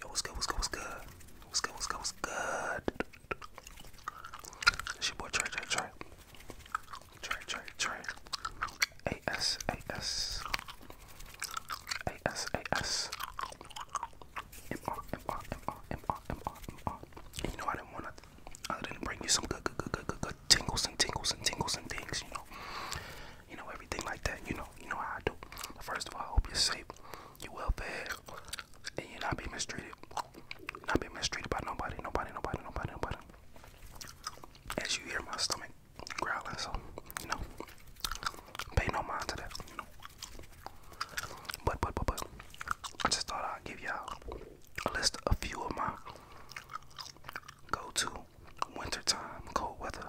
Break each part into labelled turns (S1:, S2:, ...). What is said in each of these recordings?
S1: Yo, what's good? What's good? What's good? What's good? What's good? What's good? It's your boy Trey, Trey, Trey. Trey, Trey, Trey. A-S, A-S. A-S, A-S. M-R, M-R, M-R, M-R, M-R, M-R. And you know, I didn't want to, other than bring you some good, good, good, good, good, good tingles and tingles and tingles and things, you know you know, everything like that. You know, you know how I do. But first of all, I hope you're safe, you well fed, and you're not being mistreated. Not being mistreated by nobody, nobody, nobody, nobody, nobody. As you hear my stomach growling, so you know, pay no mind to that. You know, but but but but, I just thought I'd give y'all a list of a few of my go-to wintertime cold weather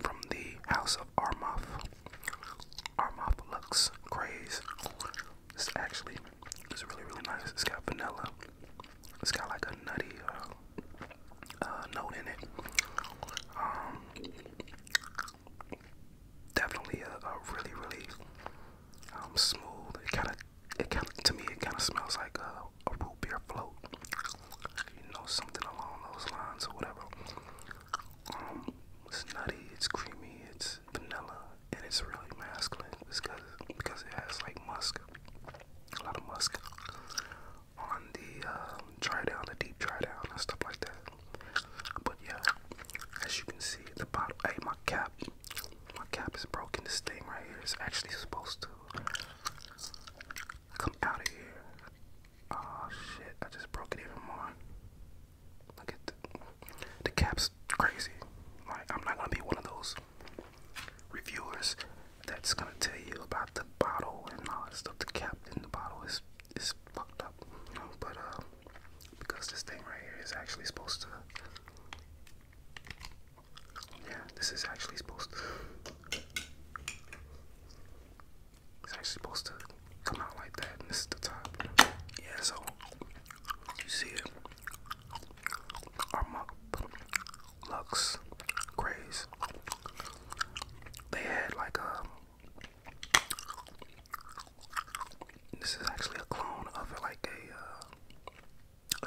S1: from the House of Armuff. Armuff Lux Craze. This actually is really really nice. It's got vanilla. It's got like a nutty uh, uh, note in it. Um, definitely a, really really um, smooth. It kind of it to me it kind of smells like a root beer float you know, something along those lines or whatever. Um, it's nutty, it's creamy, it's vanilla, and it's really masculine because because it has like musk, a lot of musk on the um, dry down, the deep dry down, and stuff like that. But yeah, as you can see at the bottom, hey, my cap, my cap is broken. This thing right here is actually supposed to come out of here Oh shit, I just broke it even more. Look at the, the cap's crazy. Like, I'm not gonna be one of those reviewers that's gonna tell you about the bottle and all that stuff. The cap in the bottle is, is fucked up. But, uh, because this thing right here is actually supposed to. Yeah, this is actually supposed to. It's actually supposed to come out like that, this is the top. Yeah, so you see it. Our muck, Lux, Grays. They had like a. Um, this is actually a clone of like a uh,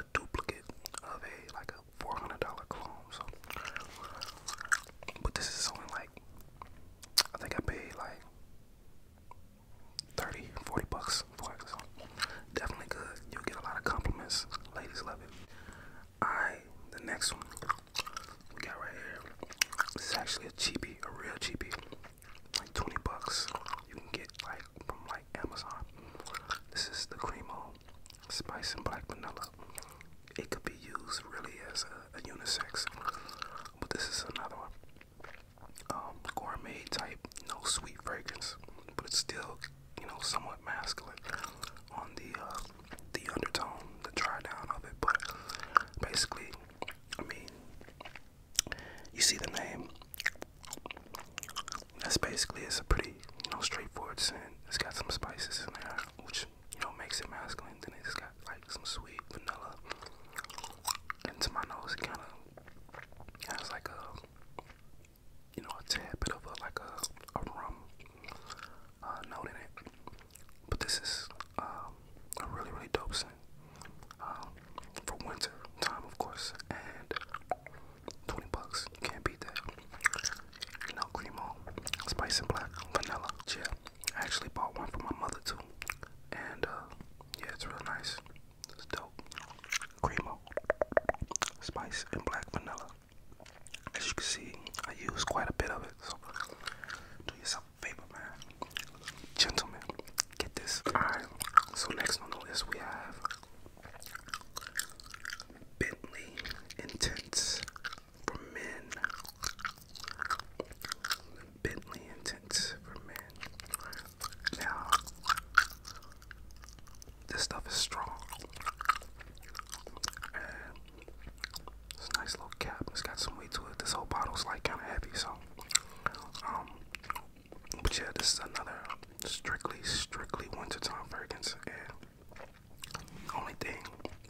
S1: a duplicate of a like four hundred dollar clone. So, but this is only like I think I paid like 30, bucks for it. So definitely good. You'll get a lot of compliments. Ladies love it. Alright, the next one we got right here. This is actually a cheapie, a real cheapie. Like 20 bucks. You can get like from like Amazon. This is the Cremo spice and black vanilla. It could be used really as a, unisex, but this is another one. Um, gourmet type, no sweet fragrance, but it's still, you know, somewhat masculine on the uh, the undertone, the dry down of it. But basically, I mean, you see the name. That's basically it's a pretty, you know, straightforward scent. It's got some spices in there which you know makes it masculine. Then it's got like some sweet vanilla, into my nose, kind of has like a you know a tad bit of like a, a rum uh, note in it. But this is um, a really really dope scent um, for winter time, of course, and 20 bucks. can't beat that. No cremo, spice and black, vanilla. Yeah, I actually bought one for my mother too. And uh, yeah, it's real nice. It's dope. Cremo, spice and black vanilla. As you can see, I use quite a bit of it. So do yourself a favor, man. Gentlemen, get this. Alright, so next on the list we have Bentley Intense for men. Bentley Intense for men. Now, this stuff is strong. it's a nice little cap. It's got some weight to it. This whole bottle's like kind of heavy, so. Um, but yeah, this is another strictly, strictly one to wintertime fragrance. again. Only thing,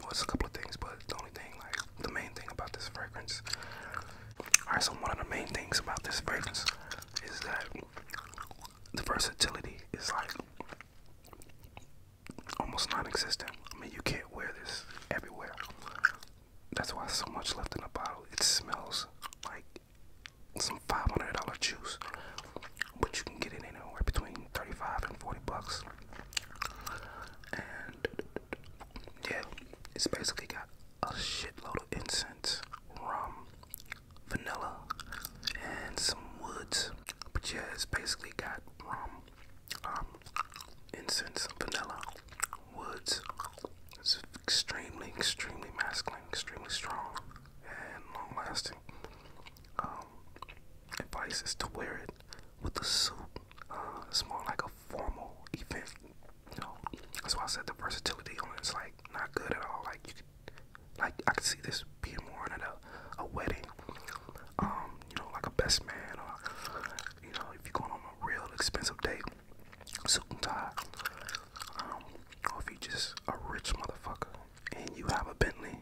S1: well, a couple of things, but the only thing, like the main thing about this fragrance. Alright, so one of the main things about this fragrance is that the versatility is like almost non-existent. I mean, you can't wear this everywhere. That's why so much left in the bottle. It smells like some $500 juice, but you can get it anywhere between 35 and 40 bucks. And yeah, it's basically got a shitload of incense, rum, vanilla, and some woods. But yeah, it's basically got rum, um, incense, vanilla, woods. It's extremely, extremely masculine, extremely strong, and long lasting um, advice is to wear it with a suit. Uh, it's more like a formal event. You know, that's why I said the versatility on it's like not good at all. Like like I could see this being worn at a, a wedding. Um, you know, like a best man or you know, if you're going on a real expensive date, suit and tie. Um, or if you just a rich motherfucker, and you have a Bentley,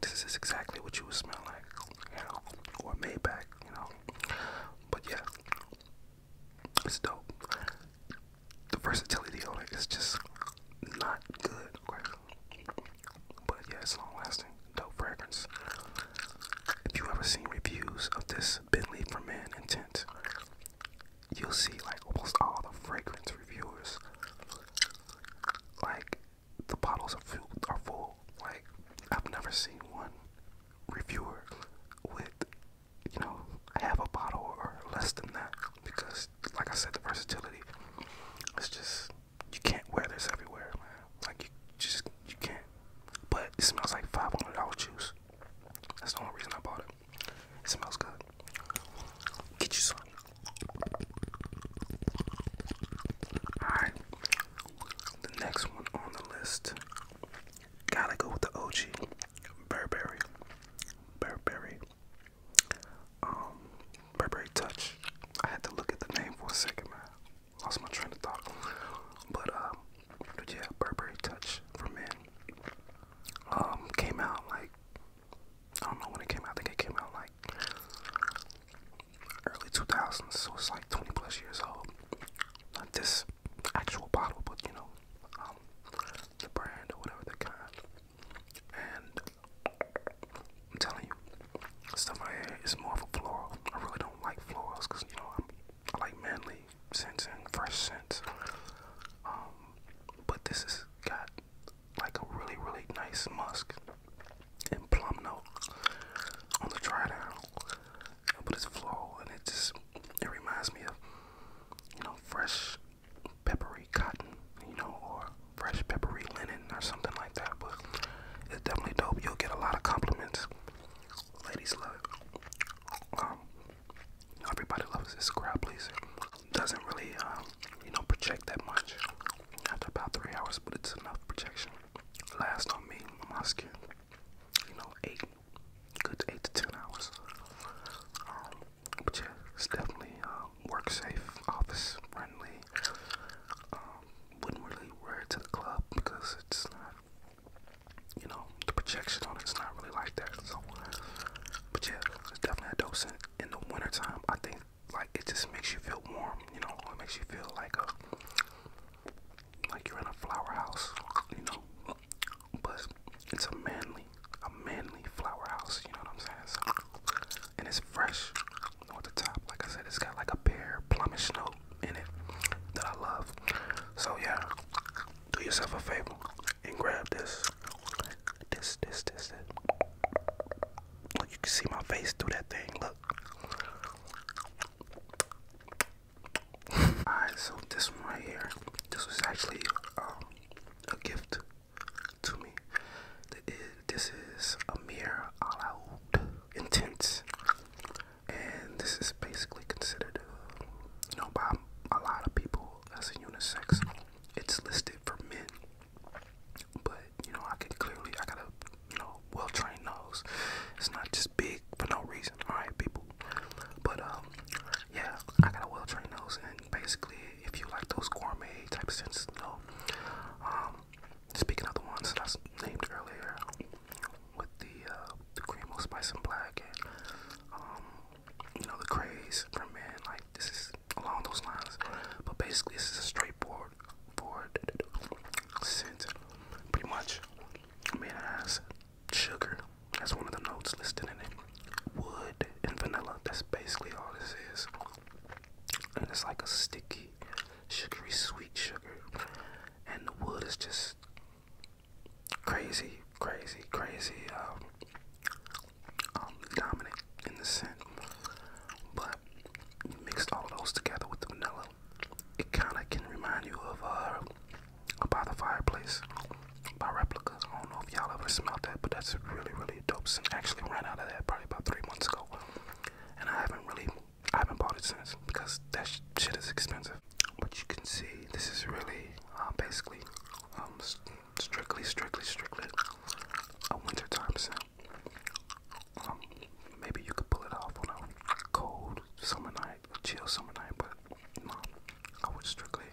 S1: this is exactly what you would smell like, you know, or Maybach, you know. But yeah, it's dope. The versatility on it is just not good, But yeah, it's long lasting, dope fragrance. If you ever seen reviews of this Bentley for Men Intent, you'll see like almost all the fragrance reviewers like the bottles are full are full like I've never seen one reviewer with you know have a bottle or less than that because like I said the versatility it's just you can't wear this everywhere like you just you can't but it smells like $500 juice that's the only reason I bought it it smells good. Get you some. Alright. The next one on the list. Gotta go with the OG. Burberry. Burberry. Um, Burberry Touch. I had to look at the name for a second, man. Lost my train of thought. But, uh, but yeah, Burberry Touch for men. Um, came out like I don't know when it came out. I think it came out like early 2000s, so it's like 20 plus years old. Not this actual bottle, but you know, um, the brand or whatever the kind. And I'm telling you, stuff I had is more of a floral. I really don't like florals because you know I'm, like manly scents and fresh scents. Um, but this has got like a really, really nice musk and plum note on the dry down, but it's flow and it just it reminds me of you know fresh peppery cotton, you know, or fresh peppery linen or something like that. But it's definitely dope. You'll get a lot of compliments. Ladies love everybody loves this Scrabblys. Doesn't really, um, you know, project that much. After about three hours, but it's enough projection. Last on me, my skin. You know, eight, good eight to ten hours. Um, but yeah, it's definitely um, work safe, office friendly. wouldn't really wear it to the club because it's not you know, the projection on it's not really like that. So, but yeah, it's definitely a dope In the wintertime, I think like it just makes you feel warm. You know, it makes you feel like a like you're in a flower house. You know, but it's a manly, a manly flower house. You know what I'm saying? So, and it's fresh on the top. Like I said, it's got like a pear plummish note in it that I love. So yeah, do yourself a favor and grab this. This, this, this, this. Look, you can see my face through that thing. Look. Alright, so this one right here, this was actually um, a gift to me. This is Amir Alaoud Intense, and this is basically considered, you know, by a lot of people available as a unisex. It's listed for men, but you know I can clearly I got a you know well trained nose. It's not just big for no reason. All right, people. But um, yeah, I got a well trained nose, and basically, if you like those gourmet type of senses, you um, speaking of the ones that I named earlier with the uh, the cream spice and black and um you know the craze for men like this is along those lines but basically this is a straightforward forward scent pretty much I mean it has sugar that's one of the notes listed in it wood and vanilla that's basically all this is and it's like a sticky sugary sweet sugar and the wood is just crazy, crazy, crazy um, um, dominant in the scent. But you all of those together with the vanilla, it kind of can remind you of uh, By the Fireplace by replicas. I don't know if y'all ever smelled that, but that's really, really dope scent. Actually ran out of that probably about three months ago. And I haven't really, I haven't bought it since because that shit is expensive but you can see this is really uh, basically um, strictly, strictly, strictly a wintertime scent. Um, maybe you could pull it off on a cold summer night, a chill summer night, but no, I would strictly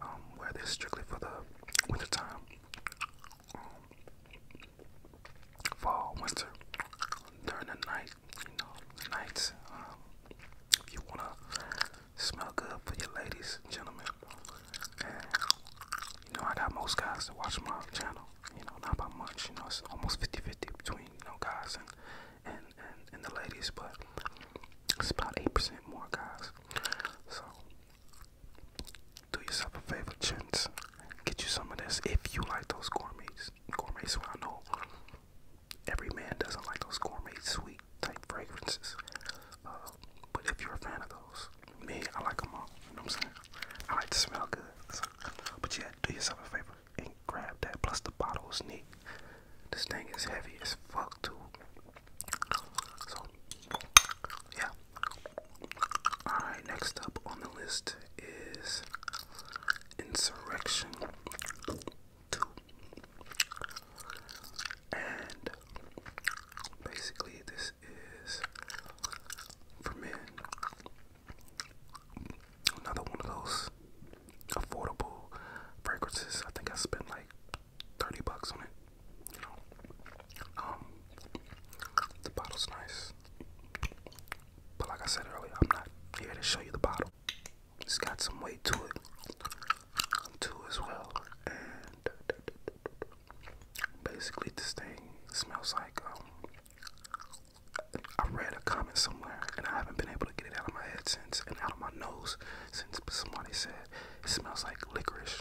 S1: um, wear this strictly for the wintertime. fall, winter, during the night, you know, nights. if um, you wanna smell good for your ladies and gentlemen, you know, I got most guys that watch my channel. You know, not by much. You know, it's almost 50-50 between you know guys and and and, and the ladies, but it's about eight percent more guys. So do yourself a favor, gents. Get you some of this if you like those gourmets. Gourmets, so I know every man doesn't like those gourmet sweet type fragrances. Uh, but if you're a fan of those, me, I like them all. You know what I'm saying? I like to smell good. But yeah, do yourself a favor and grab that. Plus the bottle is neat. This thing is heavy as fuck too. So yeah. Alright, next up on the list is Insurrection two. And basically, this is for men another one of those affordable fragrances. I think I spent like 30 bucks on it. You know, um, the bottle's nice, but like I said earlier, I'm not here to show you the bottle. It's got some weight to it, too, as well. And basically, this thing smells like um. I read a comment somewhere, and I haven't been able to get it out of my head since, and out of my nose since somebody said it smells like licorice,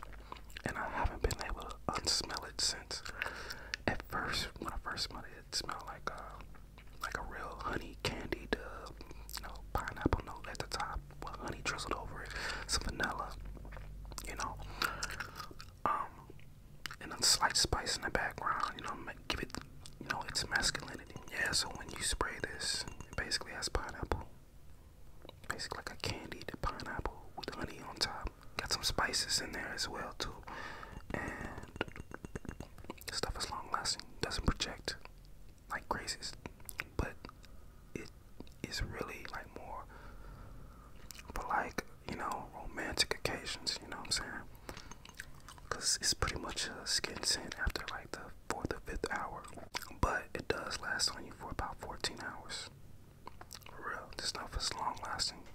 S1: and I haven't been able to unsmell it since. At first, when I first smelled it, it smelled like uh, like a real honey candied, you know, pineapple note at the top with honey drizzled over it, some vanilla, you know, um, and a slight spice in the background, you know, give it, you know, its masculinity. Yeah, so when you spray this, it basically has pineapple, basically like a candied pineapple with honey on top. Got some spices in there as well too, and stuff is long lasting, doesn't project like Grace's, but it is really like more for like, you know, romantic occasions, you know what I'm saying? Because it's pretty much a skin scent after like the fourth or fifth hour, but it does last on you for about 14 hours. real, this stuff is long lasting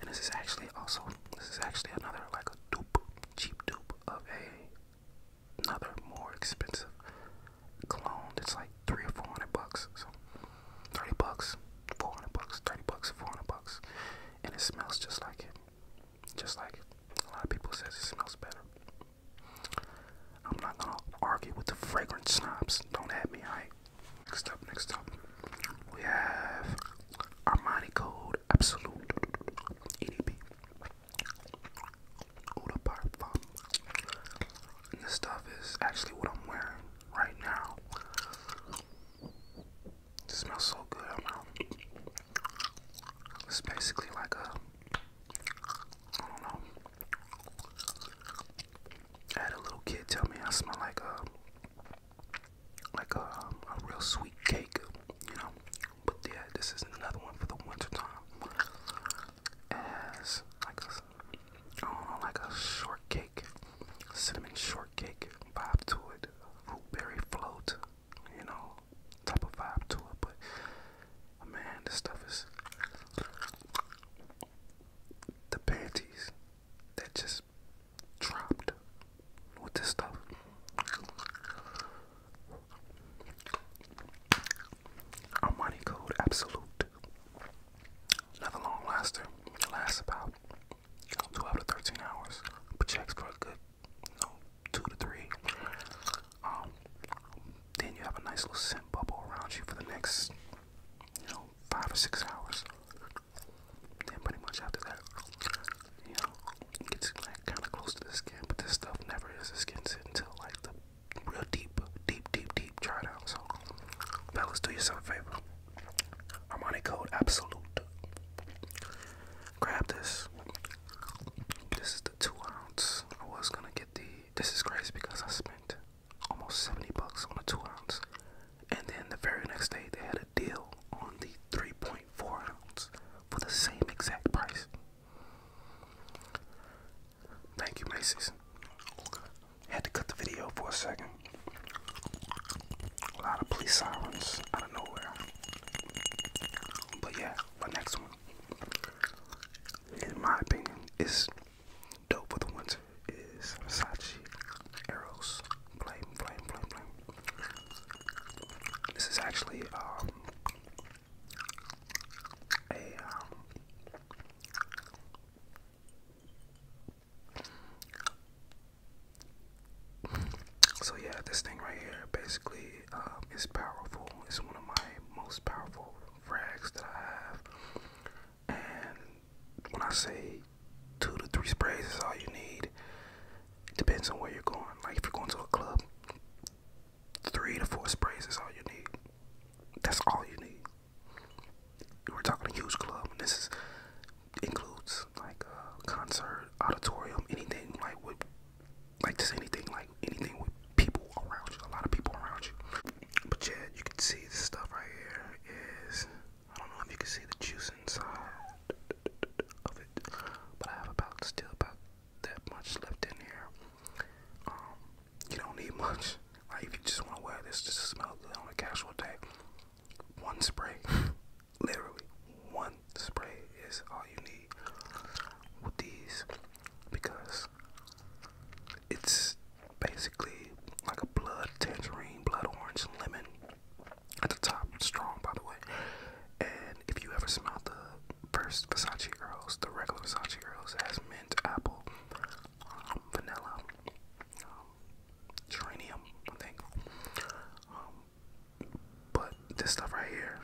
S1: And this is actually also this is actually another like a dupe, cheap dupe of a another more expensive clone that's like three or four hundred bucks. So thirty bucks, four hundred bucks, thirty bucks, four hundred bucks. And it smells just like it. Just like a lot of people says it smells better. I'm not gonna argue with the fragrant snobs. Don't have me, alright? Next up, next up, we have Armani Code Absolute EDP. This stuff is actually what I'm wearing right now. It smells so good. I'm It's basically like a, I don't know. I had a little kid tell me I smell like a like a, um, a real sweet cake, you know. But yeah, this is another one for the winter time. As like a, like a shortcake, cinnamon shortcake vibe to it, root berry float, you know, type of vibe to it. But man, this stuff is the panties that just dropped with this stuff. Armani Code Absolute. Another long laster. It lasts about 12 to 13 hours. But checks for good, you two to three. Um, then you have a nice little scent bubble around you for the next, you know, five or six hours. And pretty much after that, you know, it gets like kind of close to the skin, but this stuff never is the skin until like the real deep, deep, deep, deep dry down. So, fellas, do yourself a favor. Armani Code Absolute. Grab this. This is the two ounce. I was gonna get the. This is crazy because I spent almost 70 bucks on a two ounce. And then the very next day, they had a deal on the 3.4 ounce for the same exact price. Thank you, Macy's. Had to cut the video for a second. A lot of police sirens out of nowhere. But yeah, my next one, in my opinion, is Dope for the winter is Versace Arrows Flame, Flame, Flame, Flame. This is actually um, a um, so yeah, this thing right here basically um, is powerful. It's one of my most powerful frags that I have. And when I say two to three sprays is all you need, depends on where you're going. Like if you're going to a club, three to four sprays is all you need. That's all you need. We're talking a huge club, and this includes like a concert, auditorium, anything like with like just anything like anything with people around you, a lot of people around you. But yeah, you can see the stuff right here is, I don't know if you can see the juice inside of it, but I have about, still about that much left in here. Um, you don't need much. Like if you just want to wear this just to smell good on a casual day, one spray, literally one spray is all you need with these because it's basically like a blood tangerine, blood orange, lemon at the top, strong by the way. And if you ever smelled the first Versace Earls, the regular Versace Earls, has mint, apple, um, vanilla, um, geranium, I think. Um, but this stuff right here,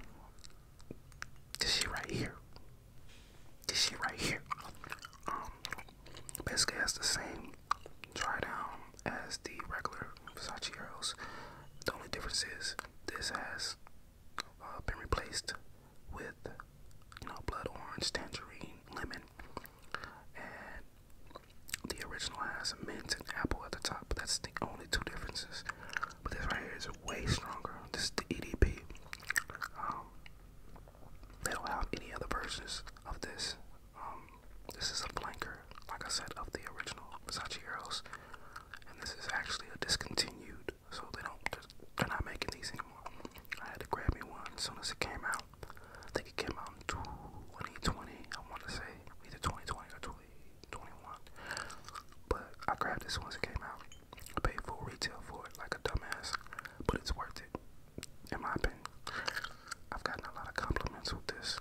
S1: this shit right here, this shit right here. Um, basically has the same dry down as the regular Versace Eros. The only difference is this has uh, been replaced with you know blood orange, tangerine, lemon, and the original has a mint and apple at the top. But that's the only two differences. But this right here is way stronger. This is the EDP. Um, they don't have any other versions of this. Um, this is a blanker, like I said, of the original Versace Eros, and this is actually a discontinued. So they don't, they're not making these anymore. I had to grab me one as soon as it came out. I think it came out in 2020. I want to say either 2020 or 2021, but I grabbed this once it came out. I paid full retail for it like a dumbass, but it's worth it, in my opinion. I've gotten a lot of compliments with this.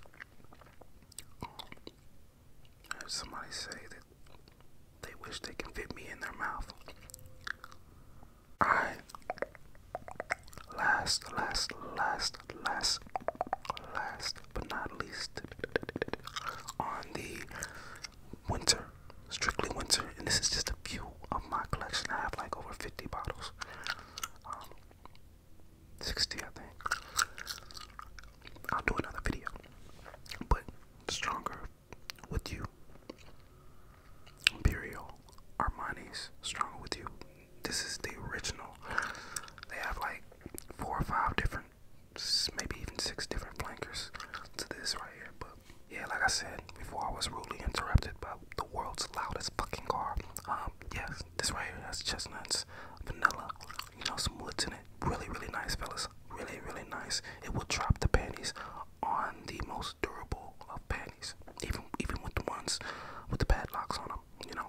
S1: somebody say that they wish they can fit me in their mouth. I last, last, last, last, last, but not least, on the winter, strictly winter, and this is just a few of my collection. I have like over 50 bottles, um, 60 I think. I'll do another video, but stronger with you. Imperial Armani's stronger with you. This is the original. They have like four or five different, maybe even six different flankers to this right here, but yeah, like I said before, I was rudely interrupted by the world's loudest fucking car. Um, yes, this right here has chestnuts, vanilla, you know, some woods in it. Really, really nice, fellas. Really, really nice. It will drop the panties on the most durable of panties, even even with the ones with the padlocks on them, you know.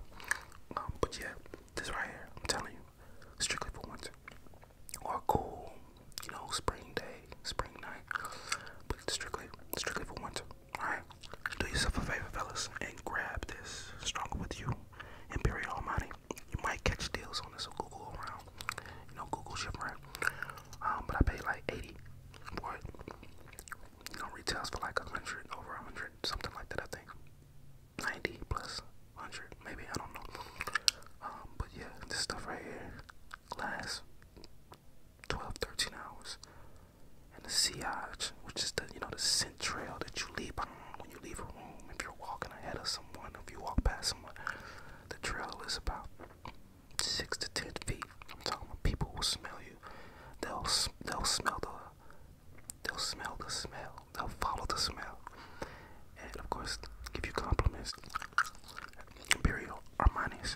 S1: Um, but yeah, this right here, I'm telling you, strictly for once or cool, you know, spring day, spring night, but it's strictly, strictly for winter. All right, do yourself a favor, fellas, and grab this. Stronger with you, Imperial Almighty. You might catch deals on this, so Google around. You know, Google ship around. Um, but I paid like 80 for it. You know, retails for like a hundred, over a hundred, something like that. I think 90 plus 100, maybe I don't know. Um, but yeah, this stuff right here lasts 12, 13 hours. And the sillage, which is the you know the scent trail that you leave when you leave a room, if you're walking ahead of someone, if you walk past someone, the trail is about six to ten feet. I'm talking about people will smell you. They'll they'll smell the they'll smell the smell. They'll follow the smell and of course give you compliments. Imperial Armani's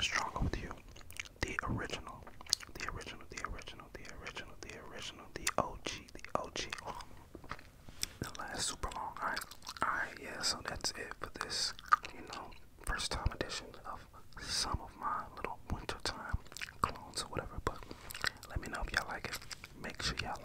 S1: strong with you. The original, the original, the original, the original, the original, the OG, the OG. The last super long. All right, all right, yeah. So that's it for this, you know, first time edition of some of my little wintertime clones or whatever. But let me know if y'all like it. Make sure y'all